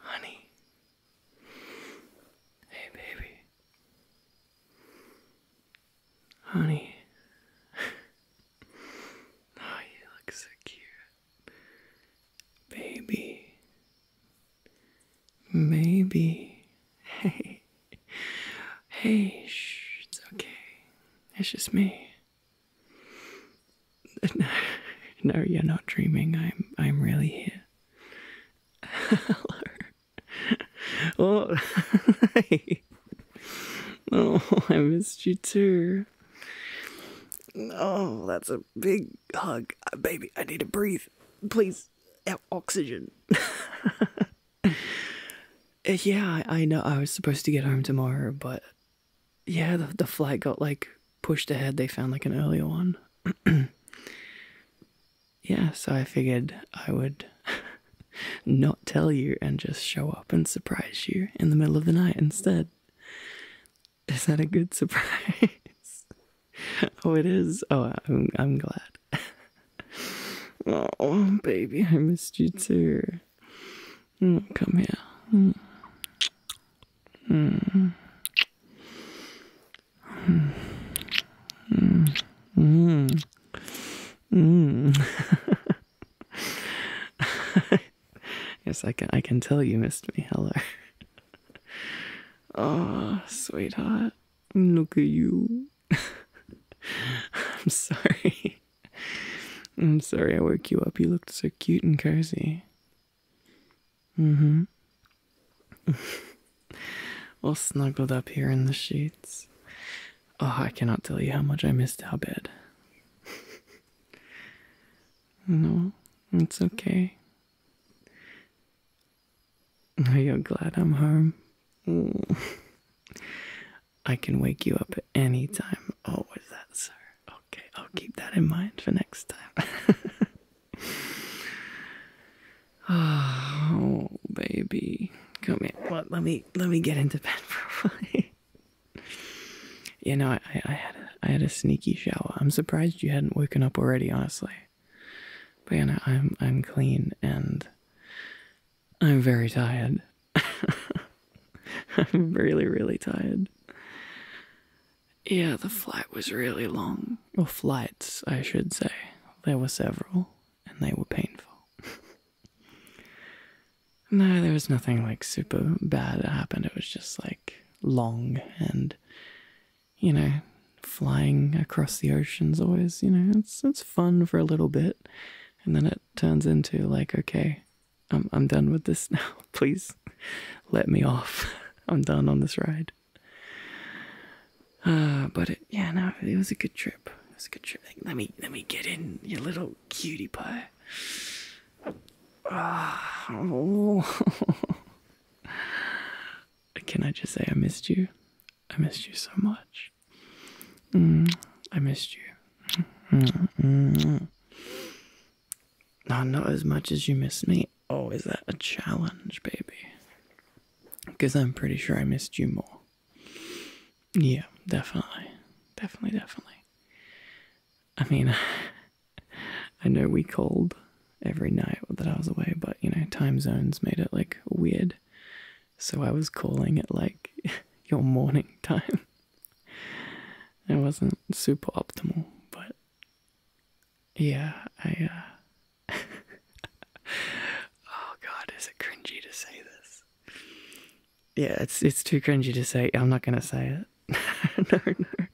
Honey. Hey, baby. Honey. oh, you look so cute. Baby. Maybe. Hey. Hey, shh, it's okay. It's just me. No, you're not dreaming. I'm I'm really here. Hello. Oh, hey. Oh, I missed you too. Oh, that's a big hug. Uh, baby, I need to breathe. Please, oxygen. Uh, yeah, I know I was supposed to get home tomorrow, but yeah, the, flight got like pushed ahead. They found like an earlier one. yeah, so I figured I would not tell you and just show up and surprise you in the middle of the night instead. Is that a good surprise? oh, it is. Oh, I'm glad. oh, baby, I missed you too. Oh, come here. Mm. Mm. Mm. Mm. Mm. yes, I can. I can tell you missed me, Heller. oh, sweetheart, look at you. I'm sorry. I'm sorry I woke you up. You looked so cute and cozy. Mm hmm. All snuggled up here in the sheets. Oh, I cannot tell you how much I missed our bed. no, it's okay. Are you glad I'm home? Ooh. I can wake you up at any time. Oh, was that, sir? Okay, I'll keep that in mind for next time. oh, baby, come here. Well, let me let me get into bed for a while. you know, I, I had a, I had a sneaky shower. I'm surprised you hadn't woken up already. Honestly, but I'm I'm clean and I'm very tired. I'm really, really tired. Yeah, the flight was really long. Or flights, I should say. There were several, and they were painful. no, there was nothing like super bad that happened. It was just like long and, you know, flying across the ocean's always, you know, it's it's fun for a little bit, and then it turns into like, okay, I'm I'm done with this now. Please let me off. I'm done on this ride. Uh, but it, yeah, no, it was a good trip. It a good trip. Let me let me get in you little cutie pie. Oh. Can I just say I missed you? I missed you so much. Mm, I missed you. Mm, mm. not as much as you missed me. Oh, is that a challenge, baby? Because I'm pretty sure I missed you more. Yeah, definitely. Definitely, definitely. I mean, I know we called every night that I was away, but you know, time zones made it like weird. So I was calling it like your morning time. It wasn't super optimal, but yeah, I uh Oh god, is it cringy to say this? Yeah, it's it's too cringy to say. I'm not gonna say it. no, no.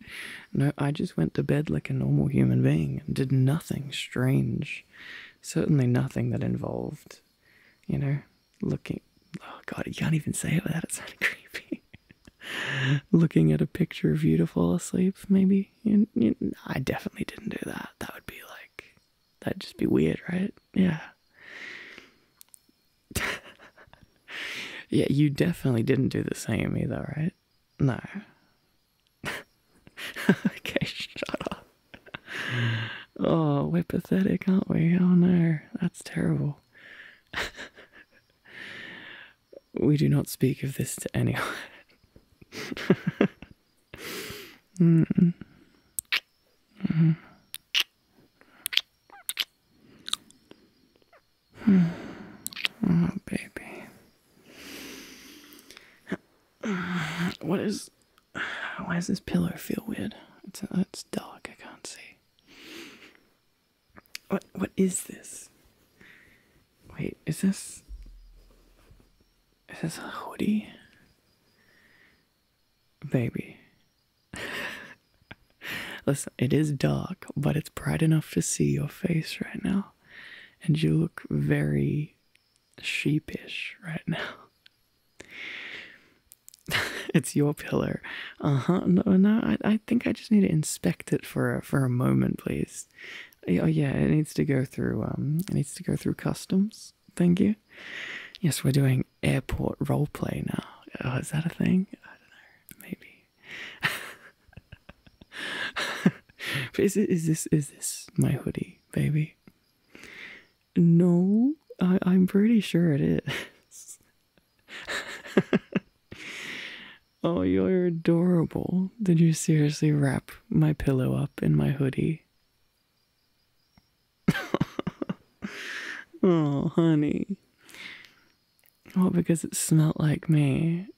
No, I just went to bed like a normal human being and did nothing strange certainly nothing that involved, you know, looking. Oh God, you can't even say it without it sounding creepy. looking at a picture of you to fall asleep, maybe. I definitely didn't do that. That would be like, that'd just be weird, right? Yeah. yeah, you definitely didn't do the same either, right? No. okay, shut up. Oh, we're pathetic, aren't we? Oh no, that's terrible. we do not speak of this to anyone. mm -mm. oh, baby. What is. Why does this pillow feel weird? It's, uh, it's dark, I can't see. What What is this? Wait, is this. Is this a hoodie? Baby. Listen, it is dark, but it's bright enough to see your face right now. And you look very sheepish right now. it's your pillar, Uh huh. No, no. I, I think I just need to inspect it for a, for a moment, please. Oh yeah, it needs to go through. Um, it needs to go through customs. Thank you. Yes, we're doing airport role play now. Oh, is that a thing? I don't know. Maybe. is it, is this is this my hoodie? baby. No, I, am pretty sure it is. oh, you're adorable. Did you seriously wrap my pillow up in my hoodie? oh, honey. Well, because it smelt like me.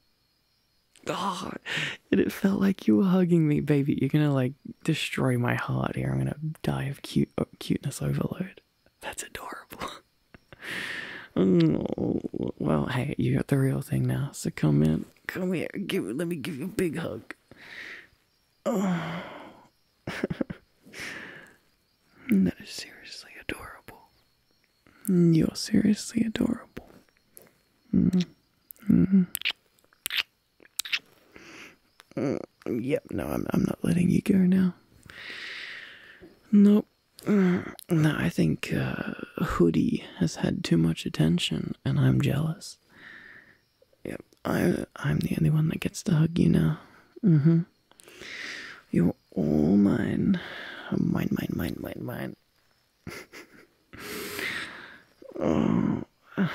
Oh, and it felt like you were hugging me, baby. You're gonna like destroy my heart here. I'm gonna die of cute uh, cuteness overload. That's adorable. oh, well, hey, you got the real thing now. So come in, come here, give let me give you a big hug. Oh. that is seriously adorable. You're seriously adorable. -hmm. Mm. yep, no, I'm, I'm not letting you go now. Nope. Mm. no, I think uh, Hoodie has had too much attention and I'm jealous. Yep, I, I'm the only one that gets to hug you now. Mm hmm. You're all mine. Mine, mine, mine, mine, mine oh, I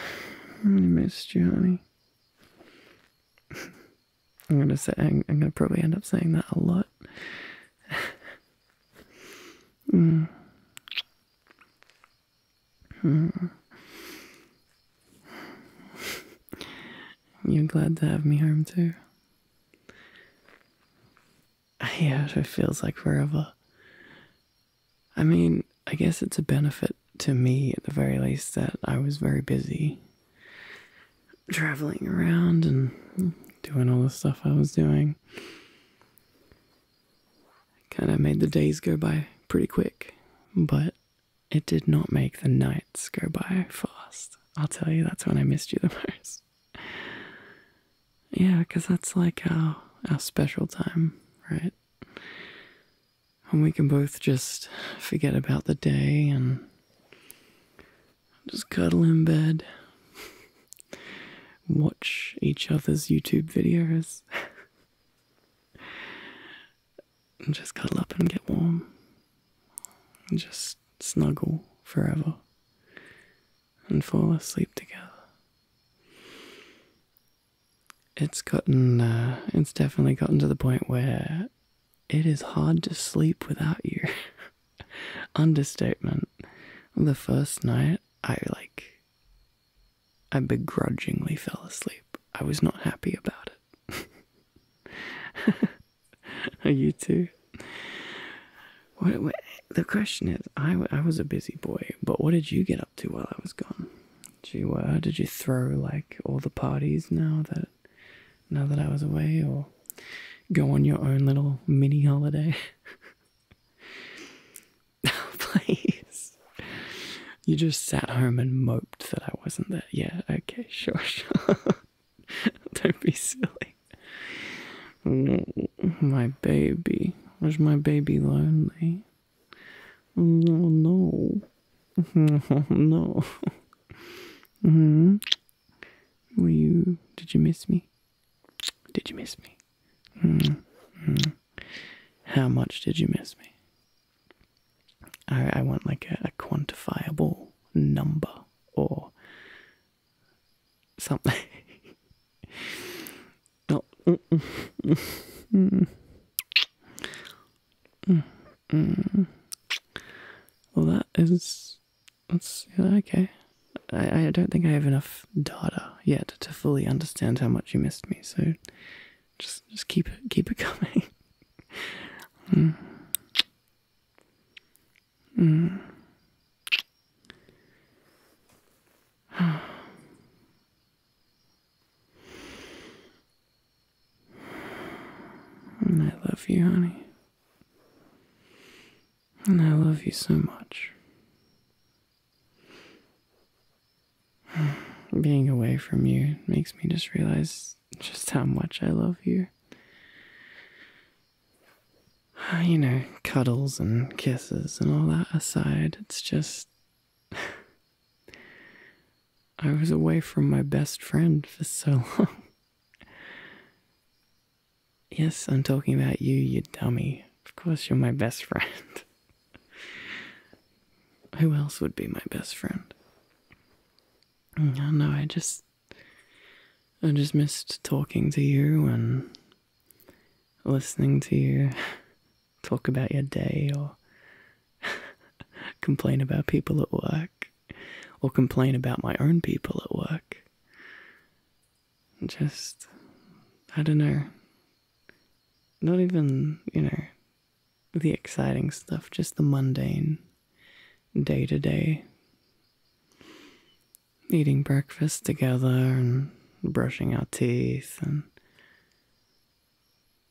really missed you, honey. I'm gonna say I'm, gonna probably end up saying that a lot. mm. Mm. You're glad to have me home too. Yeah, it feels like forever. I mean, I guess it's a benefit to me at the very least that I was very busy traveling around and doing all the stuff I was doing. Kind of made the days go by pretty quick, but it did not make the nights go by fast. I'll tell you, that's when I missed you the most. Yeah, because that's like our, our special time, right? And we can both just forget about the day and just cuddle in bed, watch each other's YouTube videos, and just cuddle up and get warm, and just snuggle forever and fall asleep together. It's gotten, uh, it's definitely gotten to the point where it is hard to sleep without you. Understatement. The first night, I like, I begrudgingly fell asleep. I was not happy about it. Are you too? What, the question is, I, I was a busy boy, but what did you get up to while I was gone? Did you, uh, did you throw like all the parties now that now that I was away, or go on your own little mini holiday? oh, please, you just sat home and moped that I wasn't there. Yeah, okay, sure, sure. Don't be silly. Mm, my baby. Was my baby lonely? Oh, no. Oh, no. Mm -hmm. Were you? Did you miss me? Did you miss me? Mm -hmm. How much did you miss me? I I want like a, a quantifiable number or something. Mm, mm, mm, well, that is. That's okay. I, I don't think I have enough data yet to fully understand how much you missed me. So, just just keep it keep it coming. mm. And I love you, honey. And I love you so much. Being away from you makes me just realize just how much I love you. you know, cuddles and kisses and all that aside, it's just. I was away from my best friend for so long. yes, I'm talking about you, you dummy. Of course, you're my best friend. Who else would be my best friend? Mm, I know, I just. I just missed talking to you and listening to you talk about your day or complain about people at work or complain about my own people at work. Just, I don't know, not even, you know, the exciting stuff, just the mundane day to day eating breakfast together and brushing our teeth and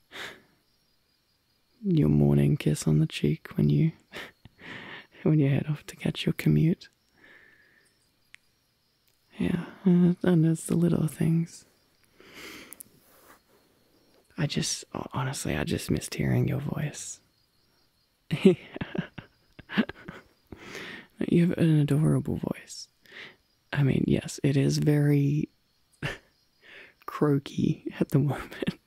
your morning kiss on the cheek when you when you head off to catch your commute. Yeah, and it's little things. I just honestly, I just missed hearing your voice. you have an adorable voice. I mean, yes, it is very croaky at the moment.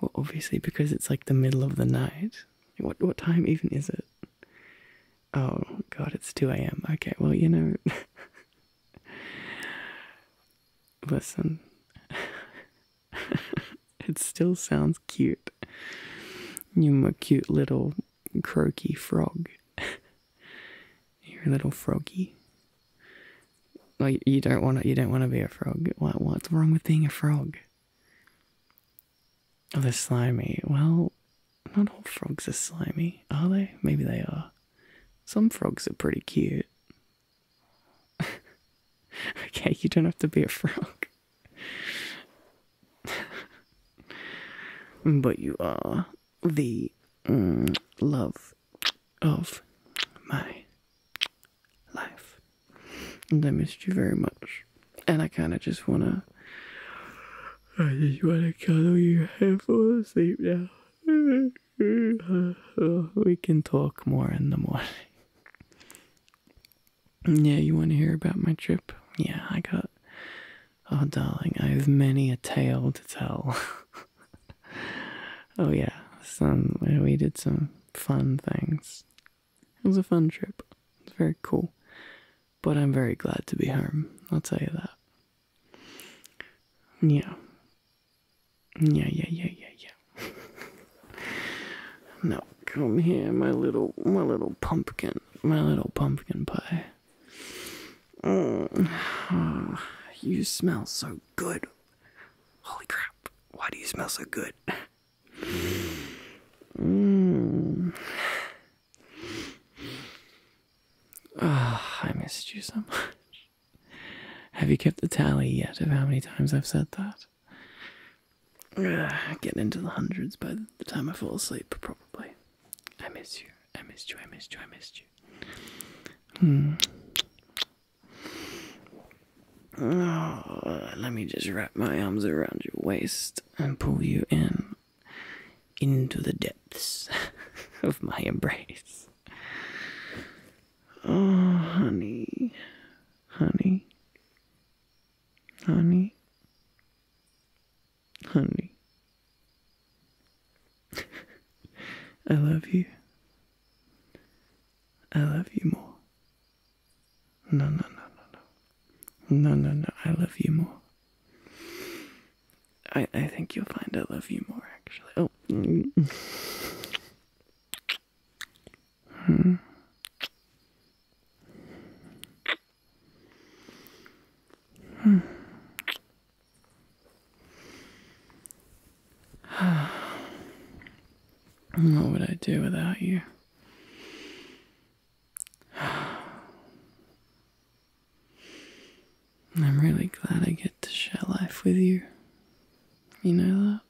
well, obviously, because it's like the middle of the night. What what time even is it? Oh God, it's two a.m. Okay, well you know. Listen, it still sounds cute. You my cute little croaky frog. You're a little froggy. Like you don't want to. You don't want to be a frog. What? What's wrong with being a frog? Oh, they're slimy. Well, not all frogs are slimy, are they? Maybe they are. Some frogs are pretty cute. okay, you don't have to be a frog but you are the mm, love of my life. And I missed you very much. And I kind of just want to. I just want to cuddle you and fall asleep now. we can talk more in the morning. Yeah, you want to hear about my trip? Yeah, I got. Oh, darling, I have many a tale to tell. oh, yeah, some, we did some fun things. It was a fun trip. It's very cool. But I'm very glad to be home, I'll tell you that. Yeah. Yeah, yeah, yeah, yeah, yeah. Now come here, my little, my little pumpkin, my little pumpkin pie. Mm. you smell so good. Holy crap! Why do you smell so good? Mm. I missed you so much. Have you kept the tally yet of how many times I've said that? uh, getting into the hundreds by the time I fall asleep, probably. I miss you. I miss you. I miss you. I miss you. Hmm. Oh, let me just wrap my arms around your waist and pull you in into the depths of my embrace. Oh, honey, honey, honey, Honey, I love you. I love you more. No, no, no, no, no. No, no, no. I love you more. I, I think you'll find I love you more, actually. Oh. Hmm. Hmm. what would I do without you? I'm really glad I get to share life with you. You know that?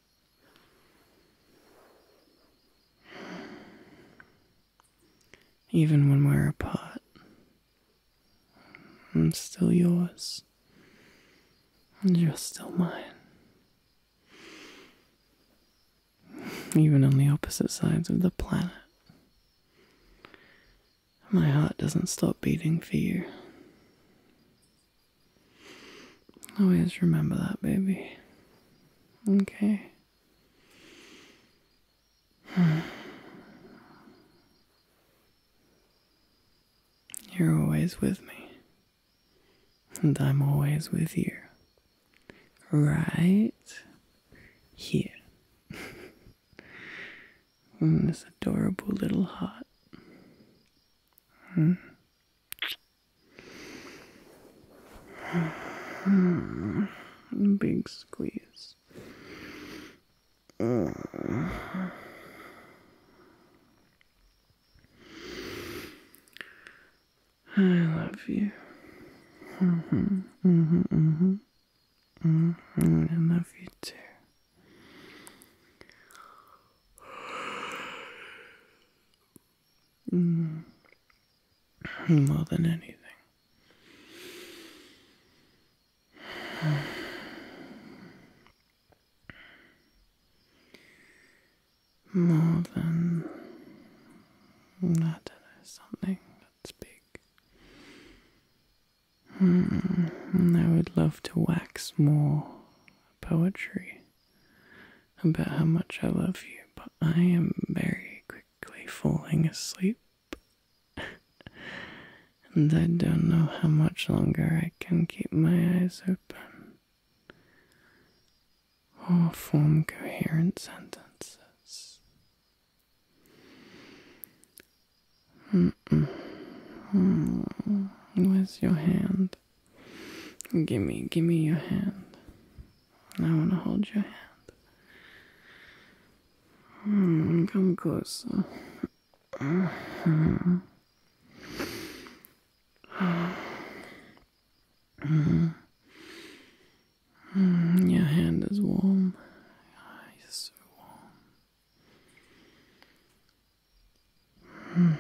Even when we're apart, I'm still yours, and you're still mine. Even on the opposite sides of the planet, my heart doesn't stop beating for you. Always remember that, baby. Okay. You're always with me, and I'm always with you. Right here in this adorable little hut. Big squeeze. I love you. Mm-hmm, mm-hmm, mm-hmm. Mm-hmm, I love you too. Mm. More than anything. More than I something that's big. Hmm, I would love to wax more poetry about how much I love you, but I am very quickly falling asleep. and I don't know how much longer I can keep my eyes open or form coherent sentences. Mm Where's your hand? Gimme, gimme your hand. I want to hold your hand. Hmm, come closer. Mm-hmm. your hand is warm. Oh,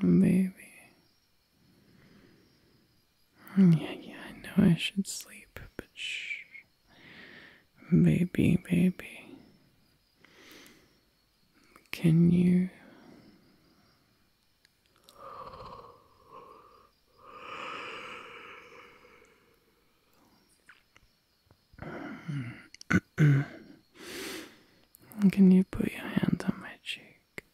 Baby, yeah, yeah, I know I should sleep, but shh. Baby, baby. Can you. Can you put your hand on my cheek?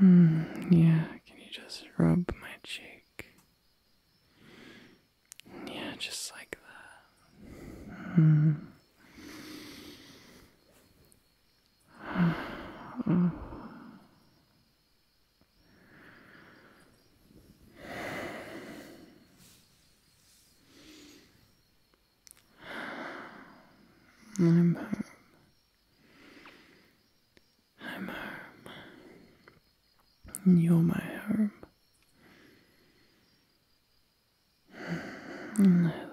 yeah, can you just rub my cheek? Yeah, just like that. I'm home. I'm home. you're my home. And I love you.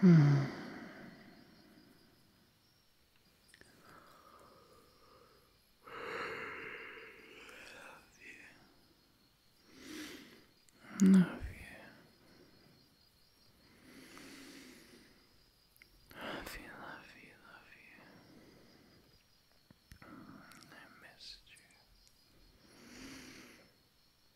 Hmm. Love you. Love you, love you, love you. I missed you.